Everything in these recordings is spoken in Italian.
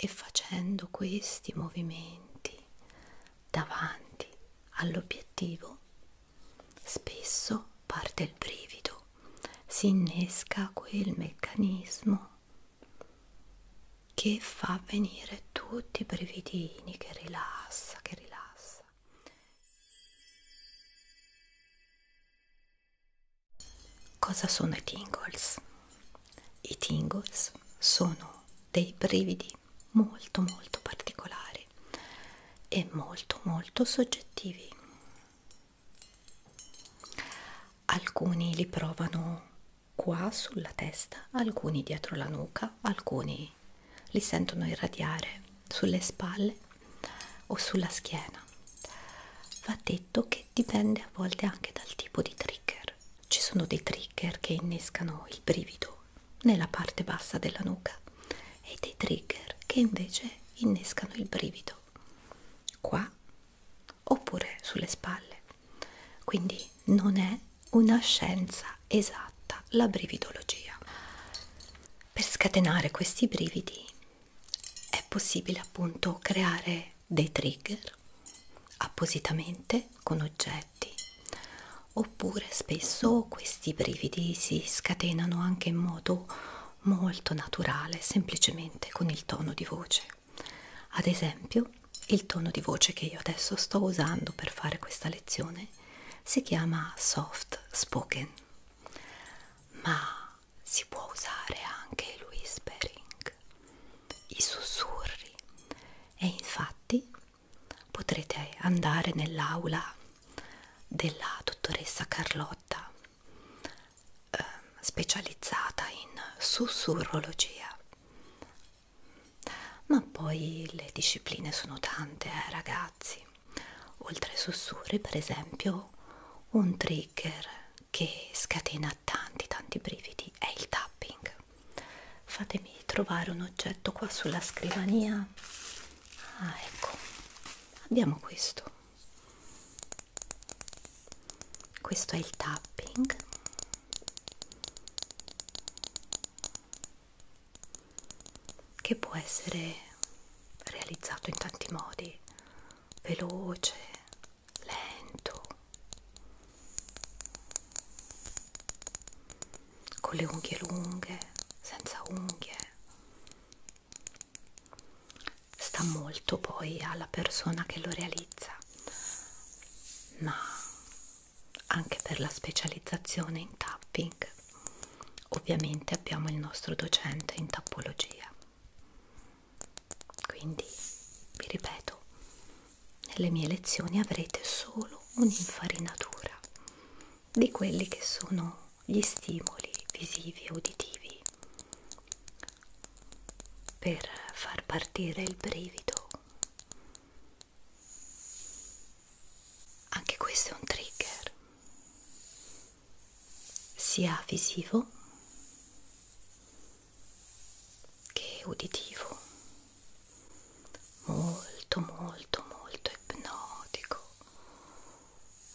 E facendo questi movimenti davanti all'obiettivo, spesso parte il brivido, si innesca quel meccanismo che fa venire tutti i brividini, che rilassa, che rilassa. Cosa sono i tingles? I tingles sono dei brividi molto molto particolari e molto molto soggettivi. Alcuni li provano qua sulla testa, alcuni dietro la nuca, alcuni li sentono irradiare sulle spalle o sulla schiena. Va detto che dipende a volte anche dal tipo di trigger. Ci sono dei trigger che innescano il brivido nella parte bassa della nuca e dei trigger che invece innescano il brivido qua oppure sulle spalle. Quindi non è una scienza esatta tratta la brividologia. Per scatenare questi brividi è possibile appunto creare dei trigger appositamente con oggetti oppure spesso questi brividi si scatenano anche in modo molto naturale semplicemente con il tono di voce ad esempio il tono di voce che io adesso sto usando per fare questa lezione si chiama soft spoken ma si può usare anche il whispering, i sussurri e infatti potrete andare nell'aula della dottoressa Carlotta eh, specializzata in sussurrologia ma poi le discipline sono tante eh, ragazzi oltre ai sussurri per esempio un trigger che scatena tanti tanti brividi è il tapping fatemi trovare un oggetto qua sulla scrivania ah ecco abbiamo questo questo è il tapping che può essere realizzato in tanti modi, veloce, lento, con le unghie lunghe, senza unghie. Sta molto poi alla persona che lo realizza, ma anche per la specializzazione in tapping Ovviamente abbiamo il nostro docente in tappologia. Quindi, vi ripeto, nelle mie lezioni avrete solo un'infarinatura di quelli che sono gli stimoli visivi e uditivi per far partire il brivido anche questo è un trigger, sia visivo che uditivo, molto molto molto ipnotico,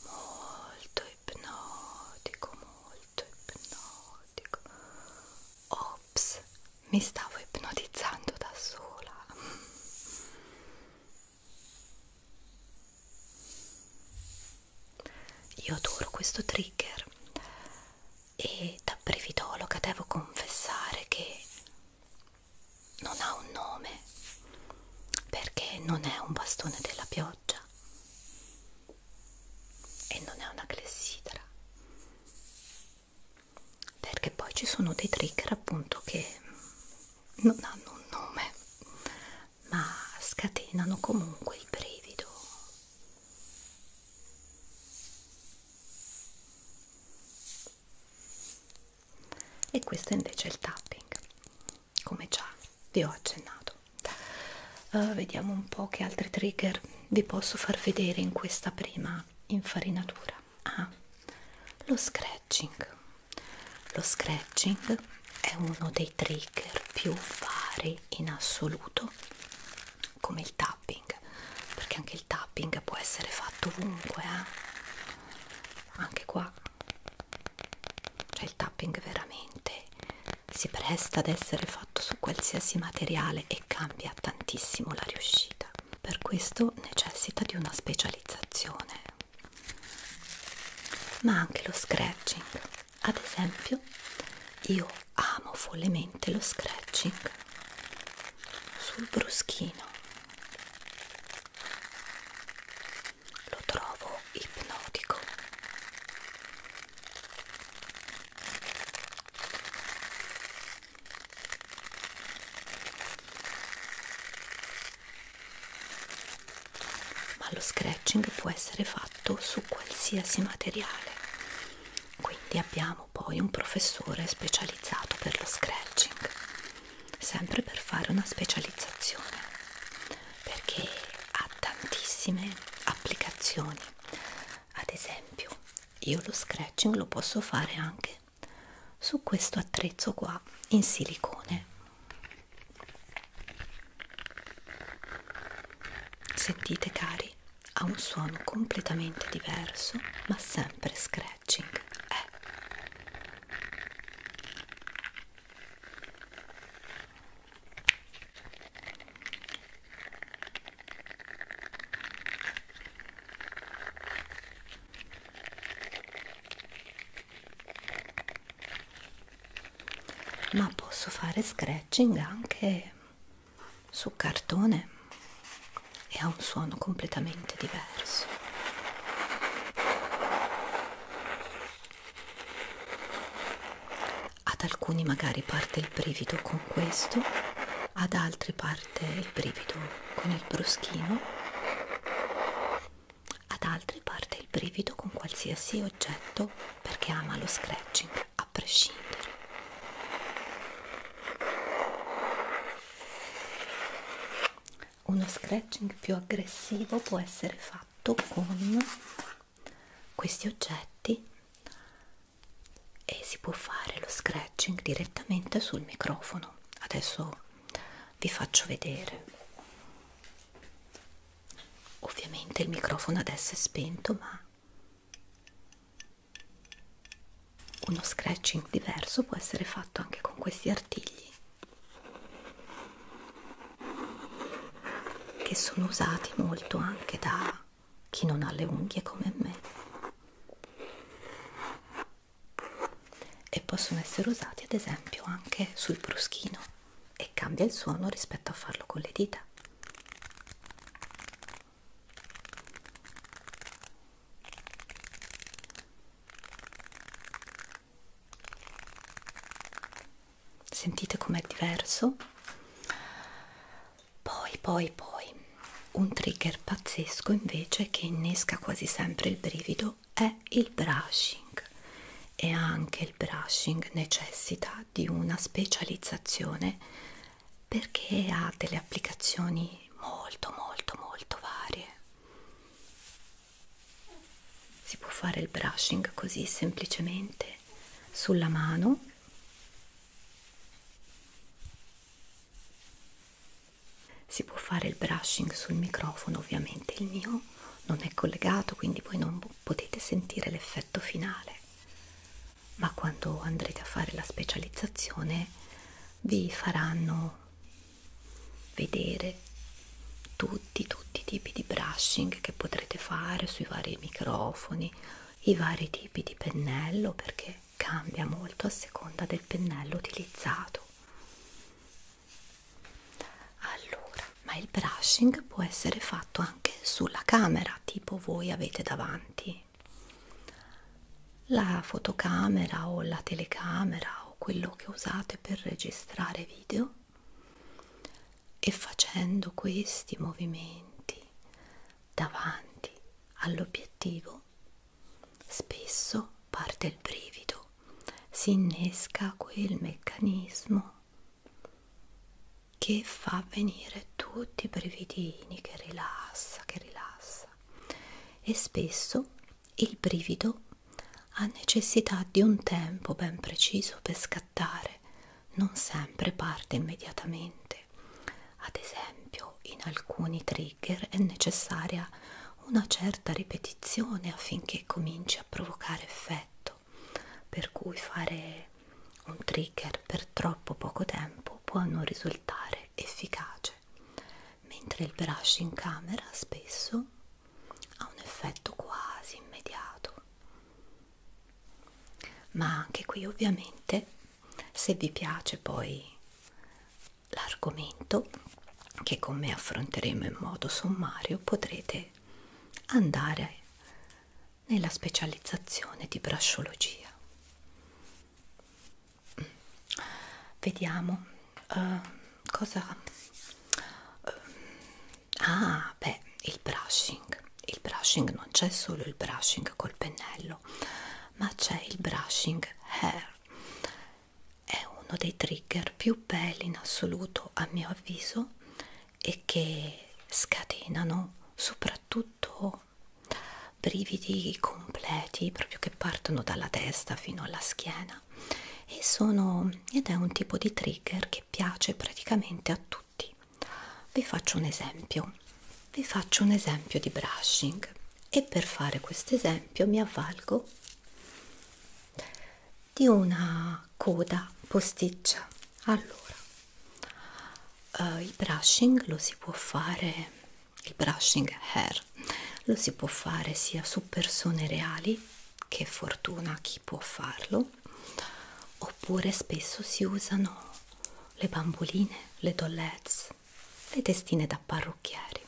molto ipnotico, molto ipnotico. Ops, mi stavo ipnotizzando da sola. Io adoro questo trigger e da brevidologa devo confessare che non ha un nome perché non è un bastone della pioggia e non è una clessidra perché poi ci sono dei trigger appunto che non hanno un nome ma scatenano comunque il brivido e questo invece è il tapping come già vi ho accennato uh, vediamo un po' che altri trigger vi posso far vedere in questa prima infarinatura ah, lo scratch scratching lo scratching è uno dei trigger più vari in assoluto come il tapping perché anche il tapping può essere fatto ovunque eh? anche qua cioè il tapping veramente si presta ad essere fatto su qualsiasi materiale e cambia tantissimo la riuscita per questo necessita di una specializzazione ma anche lo scratching ad esempio io amo follemente lo scratching sul bruschino lo trovo ipnotico ma lo scratching può essere fatto su qualsiasi materiale quindi abbiamo poi un professore specializzato per lo scratching sempre per fare una specializzazione perché ha tantissime applicazioni ad esempio io lo scratching lo posso fare anche su questo attrezzo qua in silicone sentite cari ha un suono completamente diverso ma sempre scratching eh ma posso fare scratching anche su cartone e ha un suono completamente diverso ad alcuni magari parte il brivido con questo ad altri parte parte il brivido con il bruschino, ad altri parte il brivido con qualsiasi oggetto perché ama lo scratching a prescindere. Uno scratching più aggressivo può essere fatto con questi oggetti e si può fare lo scratching direttamente sul microfono adesso vi faccio vedere ovviamente il microfono adesso è spento ma uno scratching diverso può essere fatto anche con questi artigli che sono usati molto anche da chi non ha le unghie come me e possono essere usati ad esempio anche sul bruschino e cambia il suono rispetto a farlo con le dita sentite com'è diverso poi, poi, poi, un trigger pazzesco invece che innesca quasi sempre il brivido è il brushing e anche il brushing necessita di una specializzazione perché ha delle applicazioni molto molto molto varie si può fare il brushing così semplicemente sulla mano si può fare il brushing sul microfono, ovviamente il mio non è collegato, quindi voi non potete sentire l'effetto finale, ma quando andrete a fare la specializzazione vi faranno vedere tutti, tutti i tipi di brushing che potrete fare sui vari microfoni, i vari tipi di pennello perché colore cambia molto a seconda del pennello utilizzato allora ma il brushing può essere fatto anche sulla camera tipo voi avete davanti la fotocamera o la telecamera o quello che usate per registrare video e facendo questi movimenti davanti all'obiettivo Spesso parte il brivido, si innesca quel meccanismo che fa venire tutti i brividini, che rilassa, che rilassa. E spesso il brivido ha necessità di un tempo ben preciso per scattare, non sempre parte immediatamente usate ad esempio in alcuni trigger è necessaria una certa ripetizione affinché cominci a provocare effetto per cui fare un trigger per troppo poco tempo può non risultare efficace mentre il brush in camera spesso ha un effetto quasi immediato ma anche qui ovviamente se vi piace poi l'argomento, che con me affronteremo in modo sommario, potrete andare nella specializzazione di brasciologia. Vediamo uh, cosa. Uh, ah, beh, il brushing. Il brushing non c'è solo il brushing col pennello, ma c'è il brushing hair è uno dei trigger più belli in assoluto a mio avviso e che scatenano soprattutto brividi completi proprio che partono dalla testa fino alla schiena e sono ed è un tipo di trigger che piace praticamente a tutti vi faccio un esempio vi faccio un esempio di brushing e per fare questo esempio mi avvalgo di una coda posticcia allora eh, il brushing lo si può fare il brushing hair lo si può fare sia su persone reali che fortuna chi può farlo oppure spesso si usano le bamboline, le dollets, le testine da parrucchieri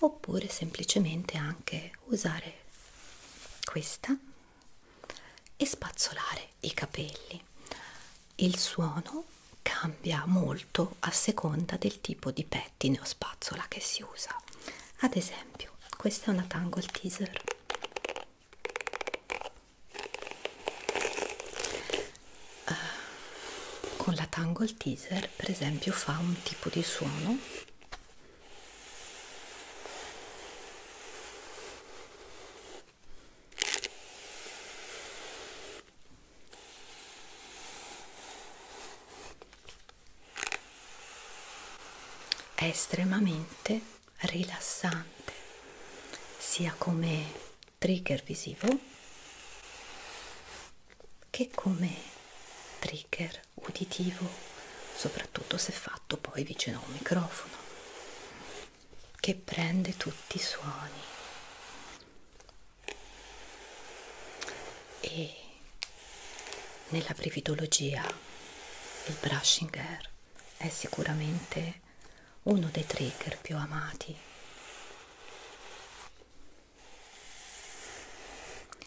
oppure semplicemente anche usare questa e spazzolare i capelli il suono cambia molto a seconda del tipo di pettine o spazzola che si usa ad esempio questa è una tangle teaser Uh, con la Tangle Teaser, per esempio, fa un tipo di suono è estremamente rilassante sia come trigger visivo che come trigger uditivo soprattutto se fatto poi vicino a un microfono che prende tutti i suoni e nella brividologia il brushing air è sicuramente uno dei trigger più amati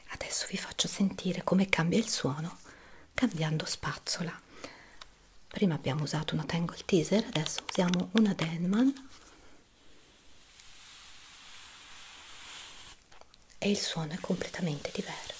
adesso vi faccio sentire come cambia il suono cambiando spazzola prima abbiamo usato una tangle teaser adesso usiamo una denman e il suono è completamente diverso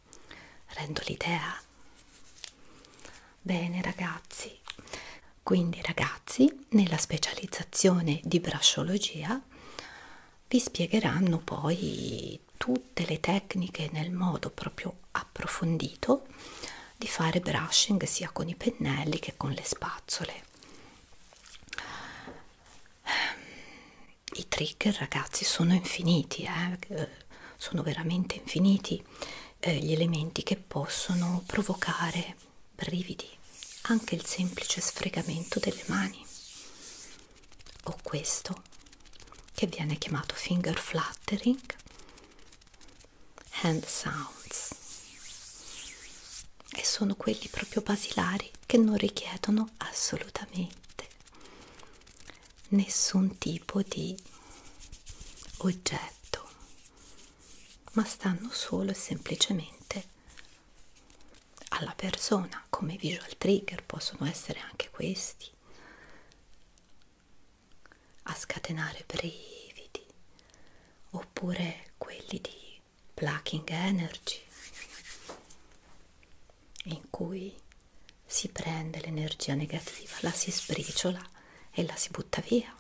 rendo l'idea bene ragazzi quindi ragazzi nella specializzazione di brasciologia vi spiegheranno poi tutte le tecniche nel modo proprio approfondito di fare brushing sia con i pennelli che con le spazzole i trigger ragazzi sono infiniti eh, eh? sono veramente infiniti eh, gli elementi che possono provocare brividi anche il semplice sfregamento delle mani o questo che viene chiamato finger fluttering hand sounds e sono quelli proprio basilari che non richiedono assolutamente nessun tipo di oggetto ma stanno solo e semplicemente alla persona come visual trigger possono essere anche questi a scatenare brividi oppure quelli di plucking energy in cui si prende l'energia negativa, la si sbriciola e la si butta via.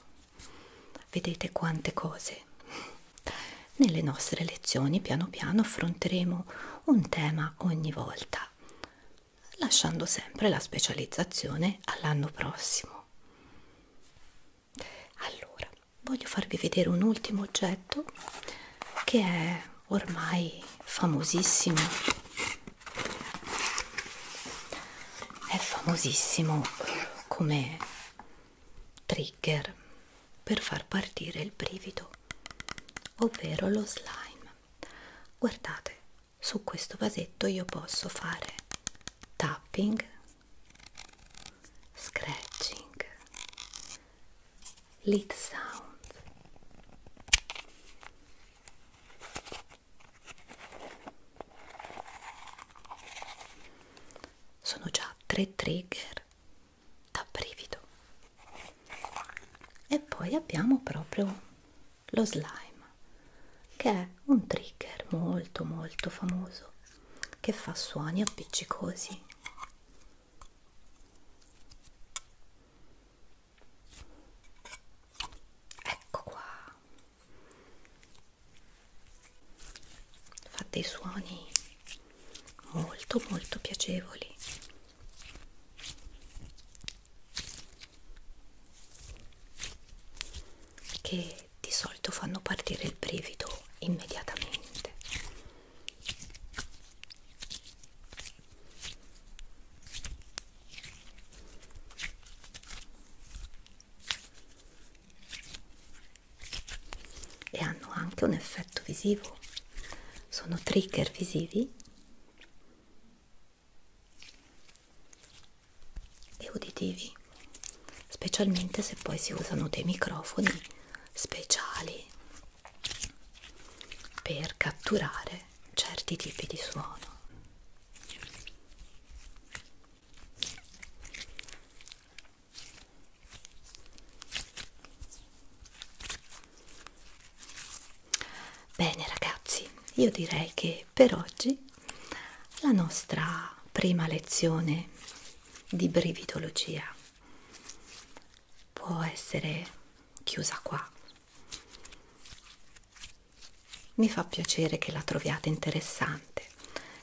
Vedete quante cose. Nelle nostre lezioni piano piano affronteremo un tema ogni volta, lasciando sempre la specializzazione all'anno prossimo. Allora, voglio farvi vedere un ultimo oggetto che è ormai famosissimo è famosissimo come trigger per far partire il brivido ovvero lo slime guardate su questo vasetto io posso fare tapping scratching Lead Sound. Sono già tre trigger da brivido. E poi abbiamo proprio lo slime che è un trigger molto molto famoso che fa suoni appiccicosi ecco qua fa dei suoni molto molto piacevoli che di solito fanno partire il brivido immediatamente e hanno anche un effetto visivo sono trigger visivi e uditivi specialmente se poi si usano dei microfoni speciali per catturare certi tipi di suono. Bene ragazzi, io direi che per oggi la nostra prima lezione di brividologia può essere chiusa qua. Mi fa piacere che la troviate interessante.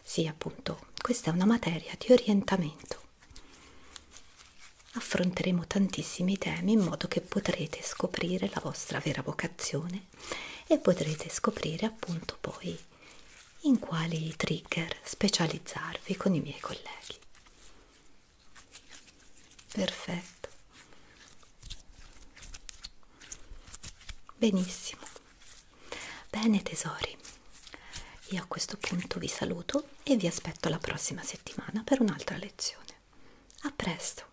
Sì, appunto, questa è una materia di orientamento. Affronteremo tantissimi temi in modo che potrete scoprire la vostra vera vocazione e potrete scoprire appunto poi in quali trigger specializzarvi con i miei colleghi. Perfetto. Benissimo. Bene tesori, io a questo punto vi saluto e vi aspetto la prossima settimana per un'altra lezione. A presto!